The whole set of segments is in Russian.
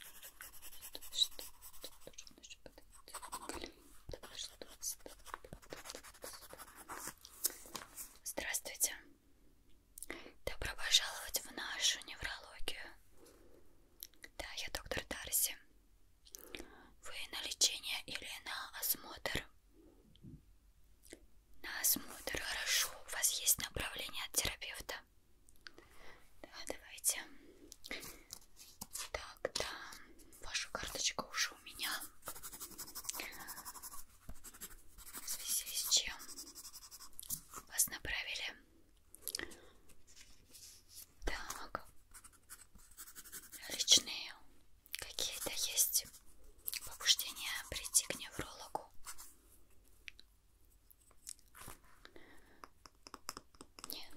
Что, что, что нужно подойти? Так, что, стоп, Здравствуйте. Добро пожаловать в нашу неврологию. Да, я доктор Дарси. Вы на лечение или на осмотр? На осмотр, хорошо. У вас есть направление от терапевта? Да, давайте. Так, да, вашу карточку уже у меня. В связи с чем вас направили. Так, личные какие-то есть побуждения прийти к неврологу. Не,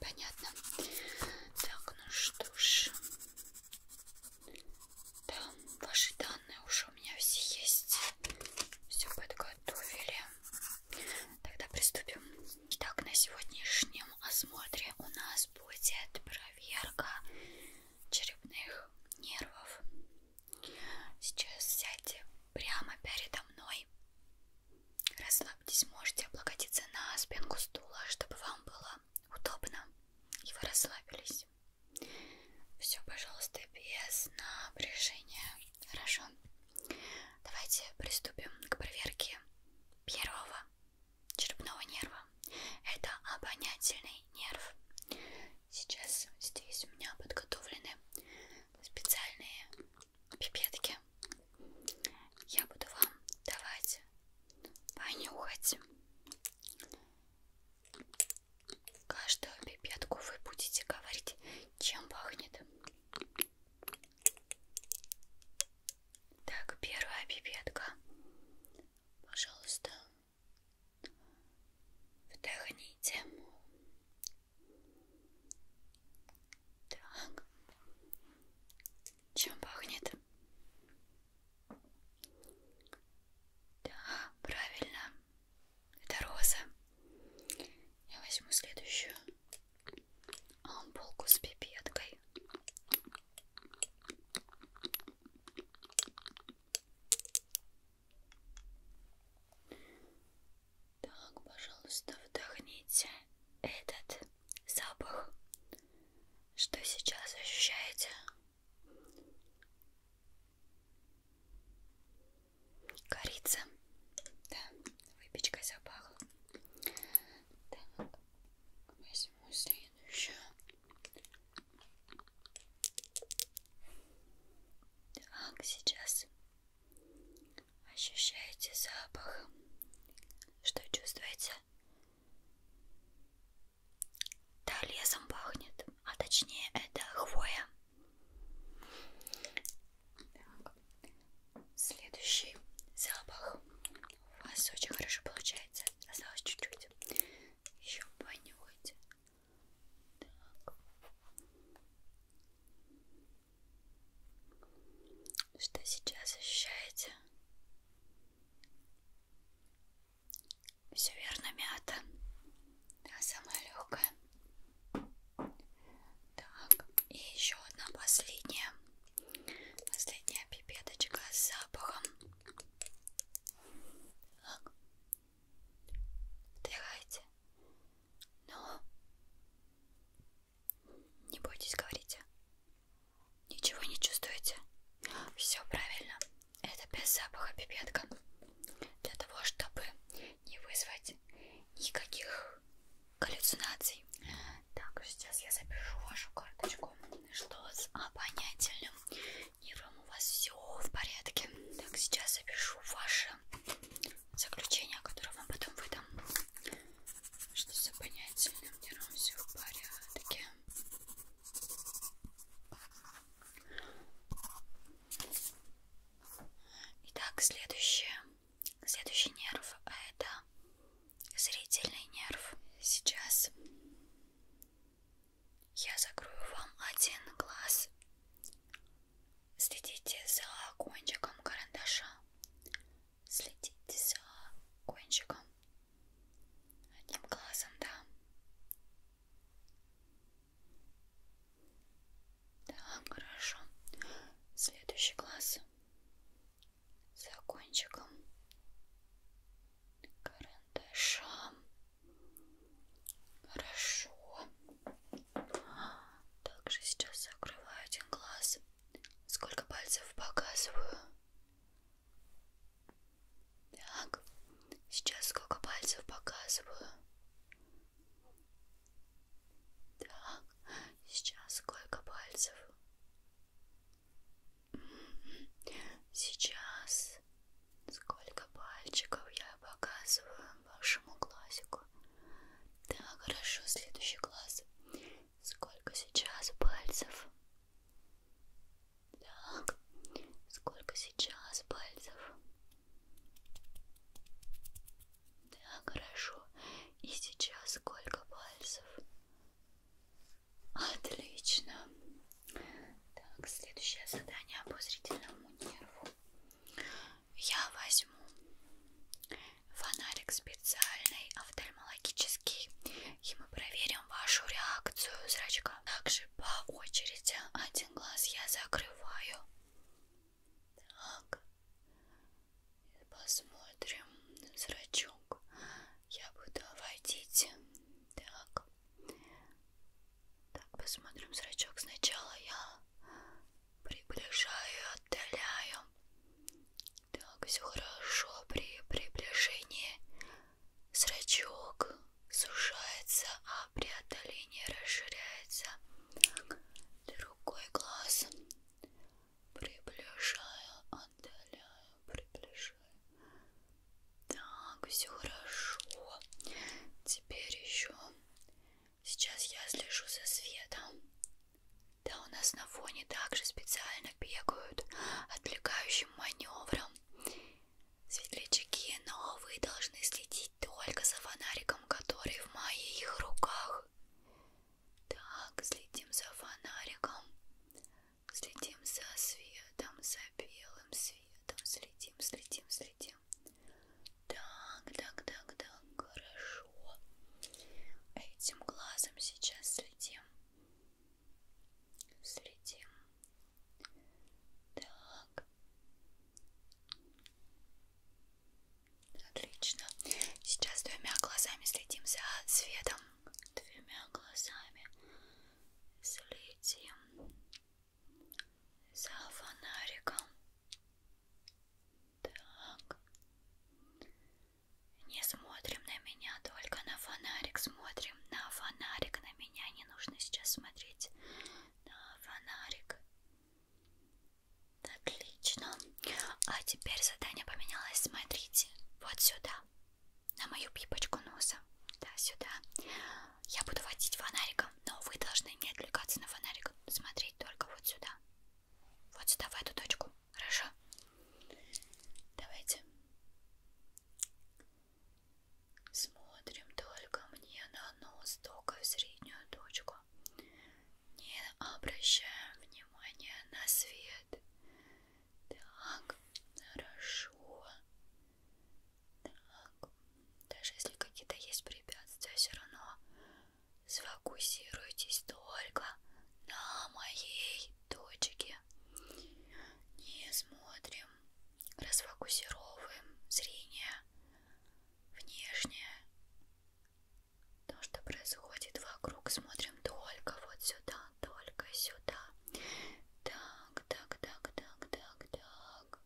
понятно. Так, ну что ж. Там ваши данные уже у меня все есть. Все подготовили. Тогда приступим. Итак, на сегодняшнем осмотре у нас будет проверка черепных нервов. Сейчас сядьте прямо передо мной. Расслабьтесь, можете облокотиться на спинку стула, чтобы вам было удобно. И вы расслабились. Все, пожалуйста, без напряжения. Хорошо. Давайте приступим к проверке первого черепного нерва. Это обонятельный нерв. Сейчас здесь у меня подготовлены специальные пипетки я буду вам давать понюхать. Каждую пипетку вы будете говорить, чем пахнет. Так, первая пипетка. Пожалуйста, вдохните так. Чем пахнет? Да, правильно. Это роза. Я возьму следующую ампулку с пипеткой. Так, пожалуйста, вдохните этот запах, что сейчас ощущаете. Корица, да, выпечка запахла. Так, возьму следующую. Так, сейчас Ощущаете запах? Что чувствуете? Да, лесом пахнет, а точнее это хвоя. Так. Следующий запах. У вас очень хорошо получается. Осталось чуть-чуть. Еще понюхайте. Так. Что сейчас ощущаете? Все верно, мята. Да, самая легкая. Так, и еще одна последняя. Последняя пипеточка с запахом. Так. Вдыхайте. Но не бойтесь, говорите. Ничего не чувствуете? Все правильно. Это без запаха пипетка. Для того, чтобы не вызвать никаких галлюцинаций. Так, сейчас я запишу вашу карточку. Что с обонятельным «А» нервом у вас все в порядке? Так, сейчас запишу ваше заключение, которое вам потом выдам, что с обонятельным нервом все в порядке. Итак, следующее, следующий нерв это зрительный нерв. Сейчас я закрою вам один глаз Следите за кончиком карандаша. Следите за кончиком. Одним глазом, да. Так, хорошо. Следующий глаз. За кончиком карандаша. Хорошо. Также сейчас закрываю один глаз. Сколько пальцев показываю? Так. Сейчас сколько пальцев показываю? Так. Сейчас сколько пальцев? Сейчас Сколько пальчиков я показываю вашему классику? Да, хорошо, следующий класс. Сколько сейчас пальцев? Так, сколько сейчас пальцев? Да, хорошо. И сейчас сколько пальцев? Отлично. Так, следующее задание обозрительному нерву. Я возьму фонарик специальный офтальмологический и мы проверим вашу реакцию зрачка. Также по очереди один глаз я закрываю. Так. Посмотрим зрачок. Я буду водить. Так. Так, посмотрим зрачок. Сначала я приближаю и отдаляю. Так, все хорошо. При приближении зрачок сужается, а при отдалении расширяется. Так, другой глаз. Приближаю, отдаляю, приближаю. Так, все хорошо. Теперь еще Сейчас я слежу за светом. Да, у нас на фоне также специально бегают отвлекающим маневром. Светлячки, но вы должны следить только за фонариком, который в моих руках. Так, следим за фонариком, следим за светом, за за белым светом следим, следим, следим. Так, так, так, так, хорошо. Этим глазом сейчас следим. Следим. Так. Отлично. Сейчас двумя глазами следим за светом. Двумя глазами следим за фонариком. Так. Не смотрим на меня, только на фонарик смотрим. На фонарик, на меня не нужно сейчас смотреть. На фонарик. Отлично. А теперь задание поменялось. Смотрите, вот сюда. На мою пипочку носа. Да, сюда я буду водить фонариком, но вы должны не отвлекаться на фонарик, смотреть только вот сюда. Вот сюда, в эту точку. Хорошо? Давайте. Смотрим только мне на нос, только в среднюю точку. Не обращаем внимания на свет. Так, хорошо. Так, даже если какие-то есть препятствия, все равно сфокусируйтесь только на моей точке. Не смотрим, расфокусируем зрение внешнее. То, что происходит вокруг, смотрим только вот сюда, только сюда. Так, так, так, так, так, так.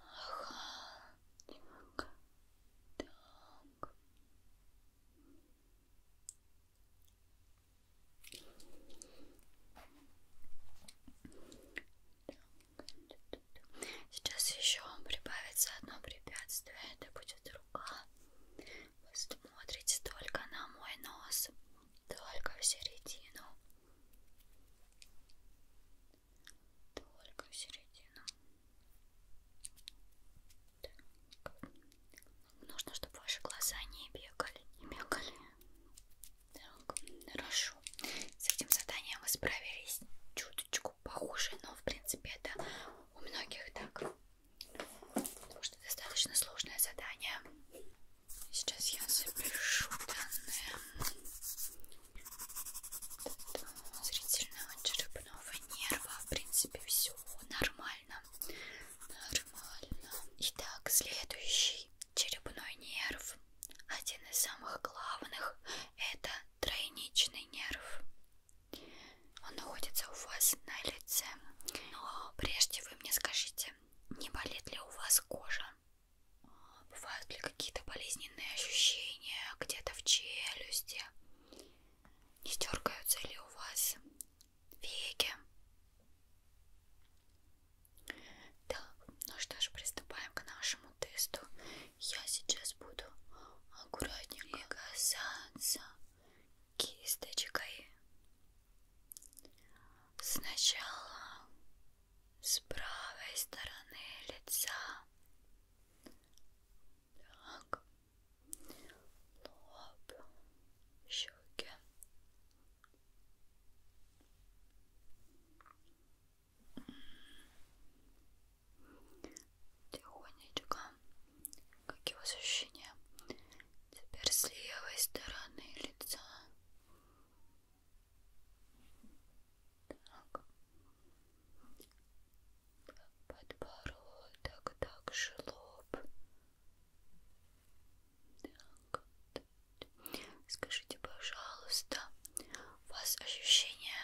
Ага, так, так. Сейчас еще прибавится одно препятствие, это будет рука рука. Вы смотрите только на мой нос, только в середину. Только в середину. Так. Нужно, чтобы ваши глаза не бегали, не бегали. Так, хорошо. С этим заданием вы справились чуточку похуже, но в принципе это у многих так, потому что достаточно сложное задание. Сейчас я запишу данные зрительного черепного нерва. В принципе, все нормально. Нормально. Итак, следующий черепной нерв. Один из самых главных это тройничный нерв. Он находится у вас на лице. Но прежде вы мне скажите, не болит ли у вас кожа? Бывают ли какие-то болезненные ощущения где-то в челюсти? Не дергаются ли у вас веки? Так, ну что ж, приступаем к нашему тесту. Я сейчас буду аккуратненько касаться кисточкой. Сначала с правой стороны лица. Так. Лоб, щеки. Тихонечко. Какие у вас ощущения? Теперь с левой стороны лица. Так. Подбородок, так же лоб. Так. Скажите, пожалуйста, у вас ощущение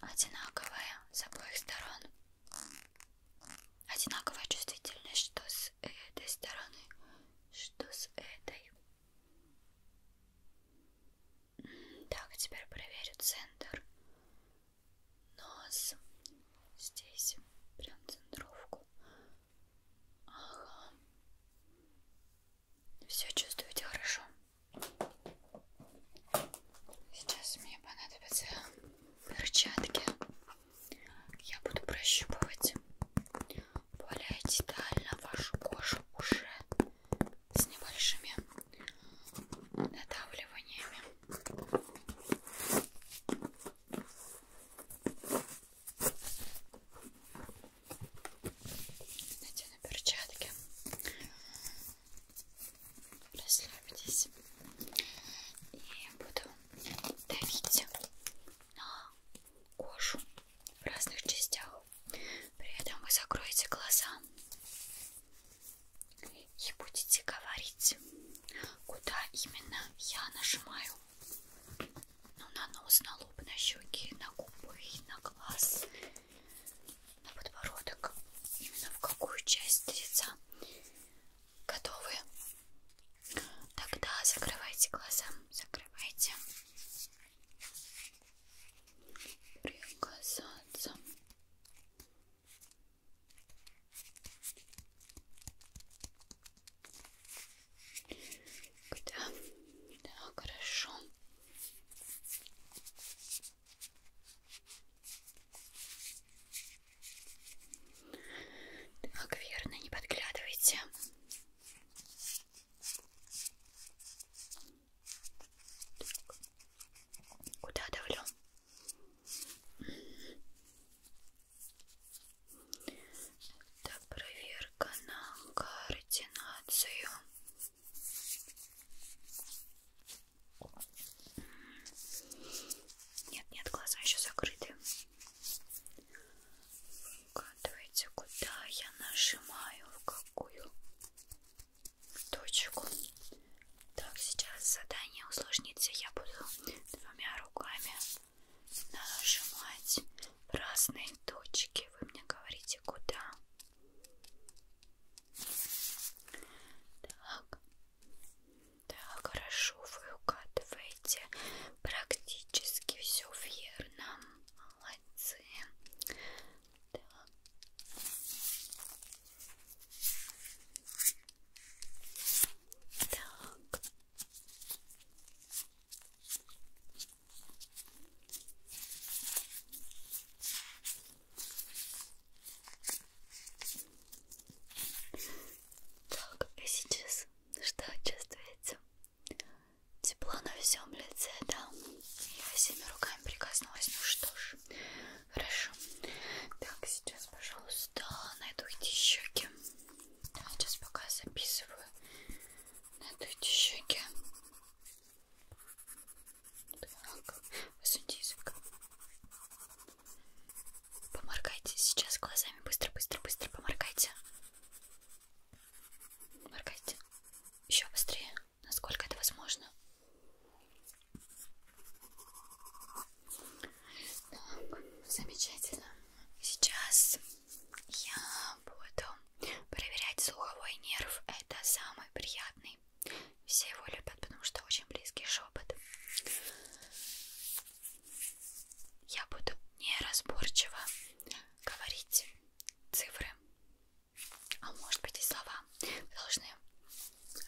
одинаковая с обоих сторон одинаковая чувствительность что с этой стороны что с этой так теперь проверю центр нос здесь прям центровку ага все чувствуете хорошо? Сейчас мне понадобятся перчатки. Я буду прощупывать более детально вашу кожу уже с небольшими надавливаниями. Надену перчатки расслабьтесь и буду давить на кожу в разных частях при этом вы закроете глаза и будете говорить куда именно я нажимаю ну, на нос, на лоб, на щеки, на губы, на глаз на подбородок, именно в какую часть лица готовы. Тогда закрывайте глаза, закрывайте. Прикасаться. Да, да, хорошо. Так, верно, не подглядывайте. Так. Куда давлю? Это проверка на координацию. Нет, нет, глаза еще закрыты. Выкатывайте, куда я нажимаю, в какую точку. Так, сейчас задание усложнится. Я буду двумя руками нажимать разные точки. Вы мне говорите, куда. Так. Да, хорошо, вы угадываете практически все верно. Молодцы. Да. Так. Так, а сейчас что чувствуете? Тепло на всем лице, да? Я всеми руками прикоснулась. Ну что ж, хорошо. Так, сейчас, пожалуйста, найду эти щеки. Да, сейчас пока записываю. Найду эти щеки. Так, высуньте язык. Поморгайте сейчас глазами. Быстро, быстро, быстро поморгайте. Моргайте. Еще быстрее, насколько это возможно. Так, замечательно. Сейчас я буду Проверять слуховой нерв это самый приятный. Все его любят, потому что очень близкий шепот. Я буду неразборчиво говорить цифры, а может быть и слова. Вы должны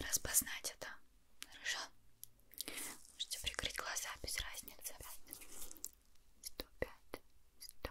распознать это. Хорошо? Можете прикрыть глаза без разницы. 105, 100,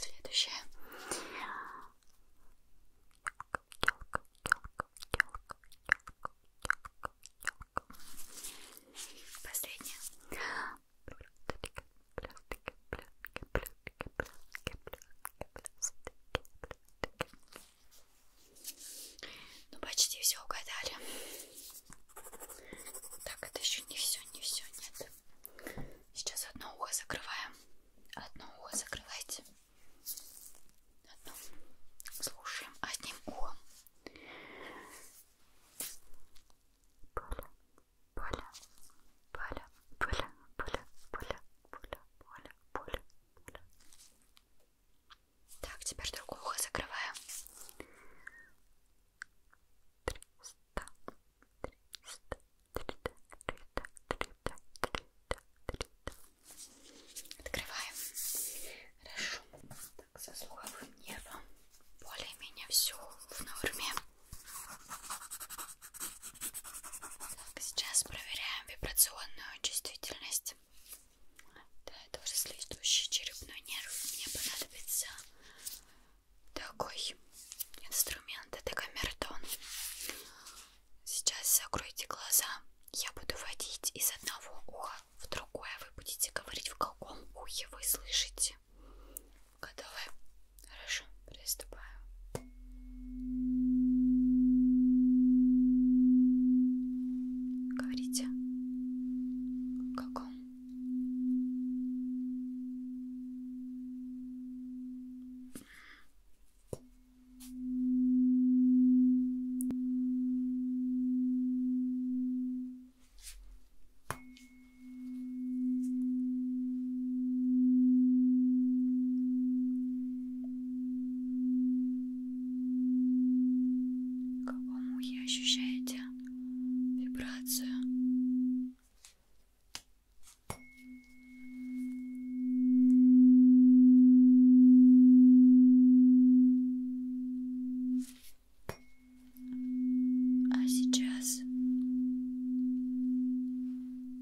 Следующее. Последнее пластики, пластики, пластики, пластики, пластики, пластики. Ну почти все угадали. Так, это еще не все, не все, нет. Сейчас одно ухо закрываем. Одно ухо закрывайте. Одно. Слушаем одним ухом. Поле, Поля, поля, поля, поля, поля, поля, поля, поля, поля. Так, теперь другое ухо закрываем. Триста, триста, триста, триста, триста, триста, триста. Открываем. Хорошо. Так, со слуховым нервом более-менее все в норме. Так, сейчас проверяем вибрационную чувствительность. Да, это уже следующий черепной нерв. Мне понадобится такой инструмент. Это камертон. Сейчас закройте глаза. Я буду водить из одного уха в другое. Вы будете говорить, в каком ухе вы слышите. Готовы? Хорошо, приступаю. Говорите. В каком? К помухе ощущаете вибрацию. А сейчас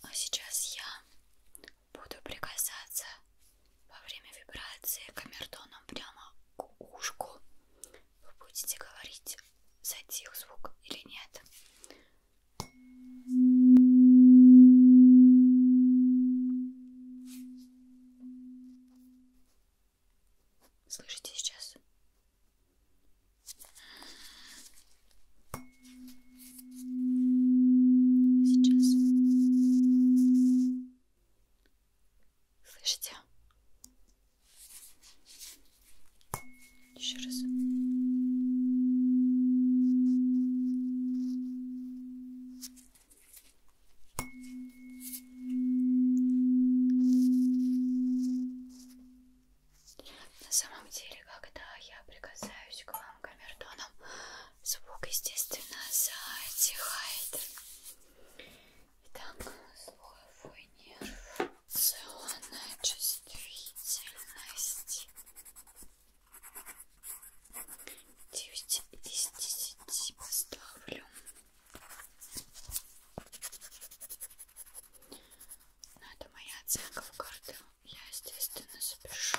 А сейчас я буду прикасаться во время вибрации камертоном прямо к ушку вы будете говорить, затих звук или нет? Слышите сейчас? Сейчас Слышите? Еще раз. На самом деле, когда я прикасаюсь к вам камертоном, звук, естественно, затихает. Итак, слуховой нерв, целая чувствительность. 9 из 10 поставлю. Но ну, это моя оценка в карту. Я, естественно, запишу,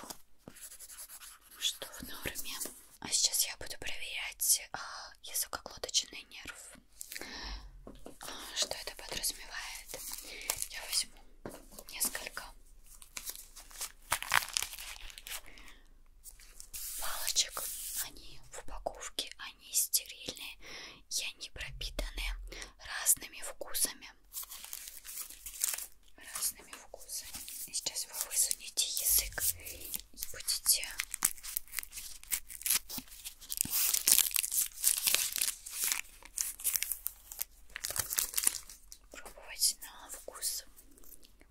что в норме. А сейчас я буду проверять а, языкоглоточный нерв. А, что это подразумевает? Я возьму несколько палочек. Они в упаковке, они стерильные, и они пропитаны разными вкусами. Разными вкусами. И сейчас вы высунете язык будете пробовать на вкус.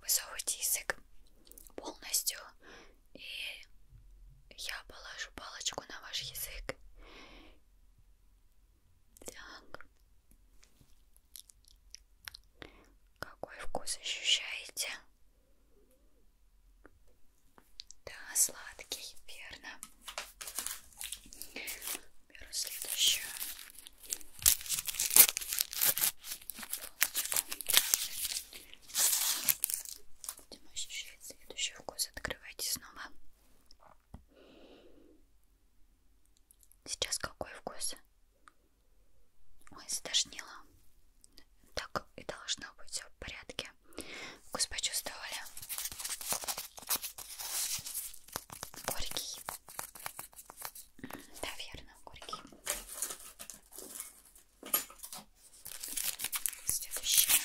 Высовывайте язык полностью, и я положу палочку на ваш язык. Так. Какой вкус ощущаете? Да, сладкий, верно. Беру следующую Будем ощущать следующий вкус. Открывайте снова. Сейчас какой вкус? Ой, задошнило. Так и должно быть, все в порядке. Вкус почувствовали? Горький. Да, верно, горький. Следующее.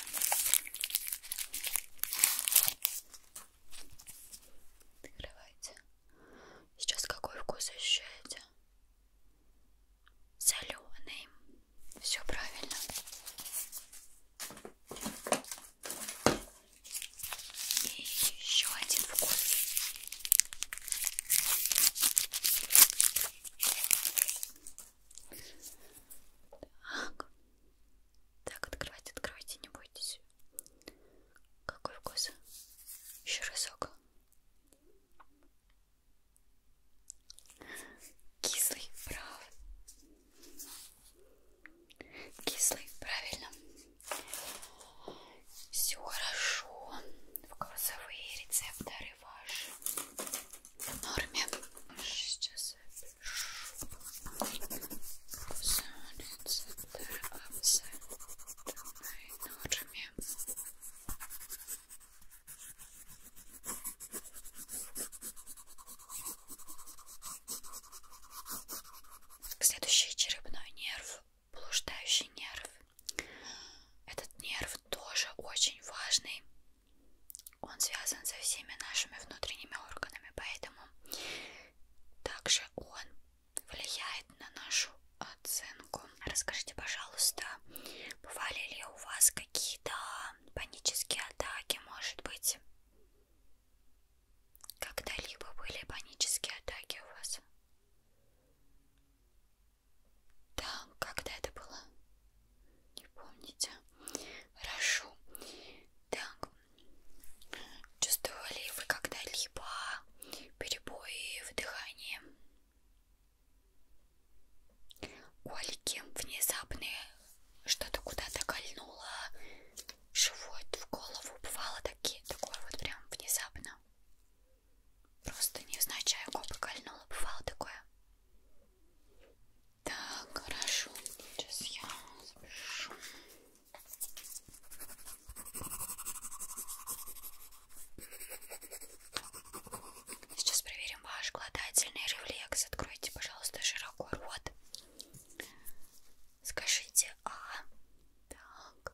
Открывайте. Сейчас какой вкус ощущаете? Соленый. Все правильно. И еще один вкус. Так. Так, открывайте, открывайте, не бойтесь. Какой вкус? Еще разок. Кислый, прав. Кислый, правильно. Все хорошо. Вкусовые рецепторы ваши в норме. Сейчас рецепторы в норме. Следующий черепной нерв, блуждающий нерв. Этот нерв тоже очень важный. Он связан со всеми нашими внутренними органами, поэтому также он влияет на нашу оценку. Расскажите, пожалуйста, бывали ли у вас какие-то панические атаки, может быть? Когда-либо были панические атаки у вас? Да, когда это было? Не помните? Хорошо. Так, чувствовали вы когда-либо перебои в дыхании? Колики внезапные, что-то куда-то кольнуло живот в голову, бывало такие, такое вот прям внезапно. Просто невзначай губы кольнуло, бывало такое. Так, хорошо, сейчас я запишу. Сейчас проверим ваш глотательный рефлекс. Откройте, пожалуйста, широко рот. Скажите А. Так.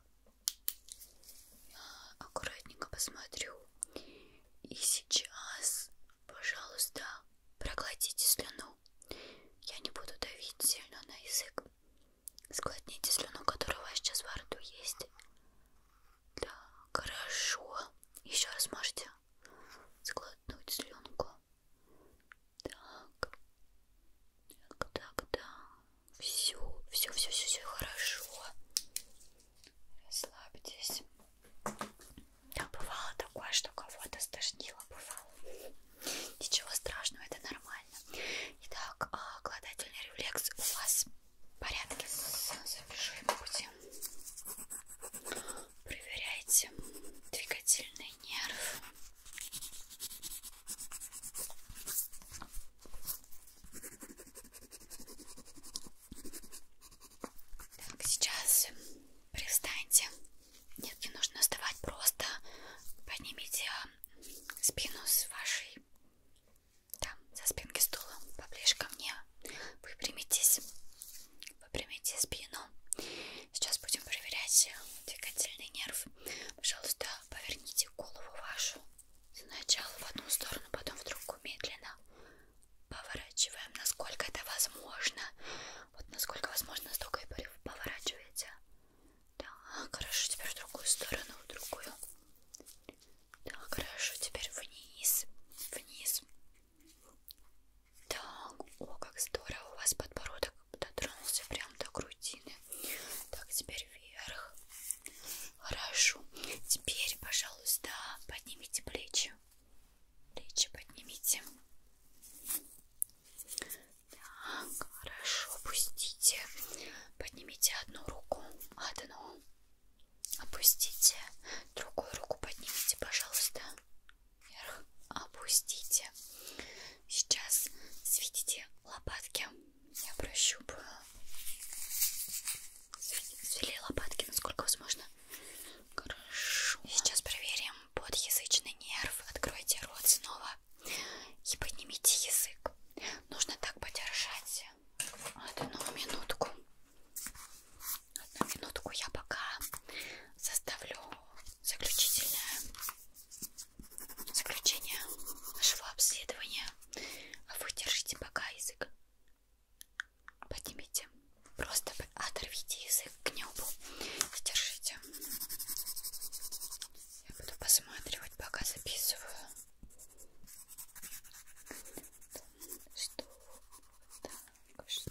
Я аккуратненько посмотрю. И сейчас, пожалуйста, проглотите слюну. Я не буду давить сильно на язык. Склотните слюну, которая у вас сейчас во рту есть. Да, хорошо. Еще раз можете склотнуть слюнку. Так. Так, так, да. Все, все, все, все, все хорошо. Расслабьтесь. Да, бывало такое, что кого-то стошнило, бывало. Ничего страшного, это нормально нормально. Итак, а, гладательный рефлекс у вас в порядке. Запишу ему будем. Проверяйте двигательный нерв. Так, сейчас привстаньте. Нет, не нужно вставать, просто поднимите спину с вашей там, со спинки стула, поближе ко мне. Выпрямитесь. Выпрямите спину. Сейчас будем проверять двигательный нерв. Пожалуйста, поверните голову вашу. Сначала в одну сторону, потом в другую медленно. Поворачиваем, насколько это возможно. Вот насколько возможно, столько и поворачиваете. Да, хорошо, теперь в другую сторону, в другую. Да, хорошо, теперь вниз, вниз. Так, о, как здорово, у вас подбородок дотронулся прям до грудины. Так, теперь вверх. Хорошо, теперь, пожалуйста, поднимите плечи. Плечи поднимите. Так, хорошо, пустите. Поднимите одну руку, одну. Опустите. Другую руку поднимите, пожалуйста. Вверх. Опустите. Сейчас сведите лопатки. Я прощупаю. Свели лопатки, насколько возможно. Хорошо. Сейчас проверим подъязычный нерв. Откройте рот снова и поднимите язык. Нужно так подержать одну минутку. Одну минутку я пока составлю заключительное заключение нашего обследования. А вы держите пока язык. Поднимите. Просто оторвите язык к небу. Держите. Я буду посматривать, пока записываю. Что? Так, что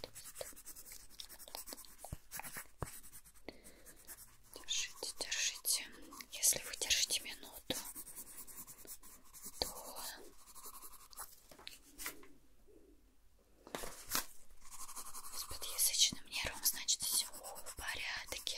Держите, держите. Если вы держите минуту, то с подъязычным нервом, значит, все в порядке.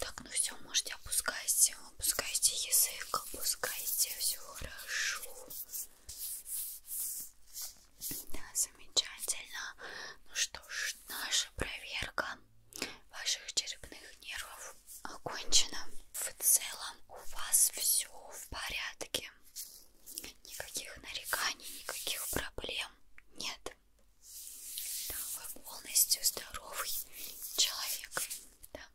Так, ну все, можете опускайте, опускайте язык, опускайте, все хорошо. Да, замечательно. Ну что ж, наша проверка ваших черепных нервов окончена. В целом у вас все в порядке никаких нареканий, никаких проблем нет. Да, вы полностью здоровый человек. Да.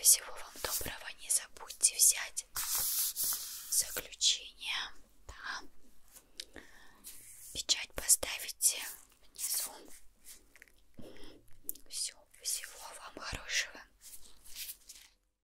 Всего вам доброго, не забудьте взять заключение. Да. Печать поставите внизу. Все, всего вам хорошего.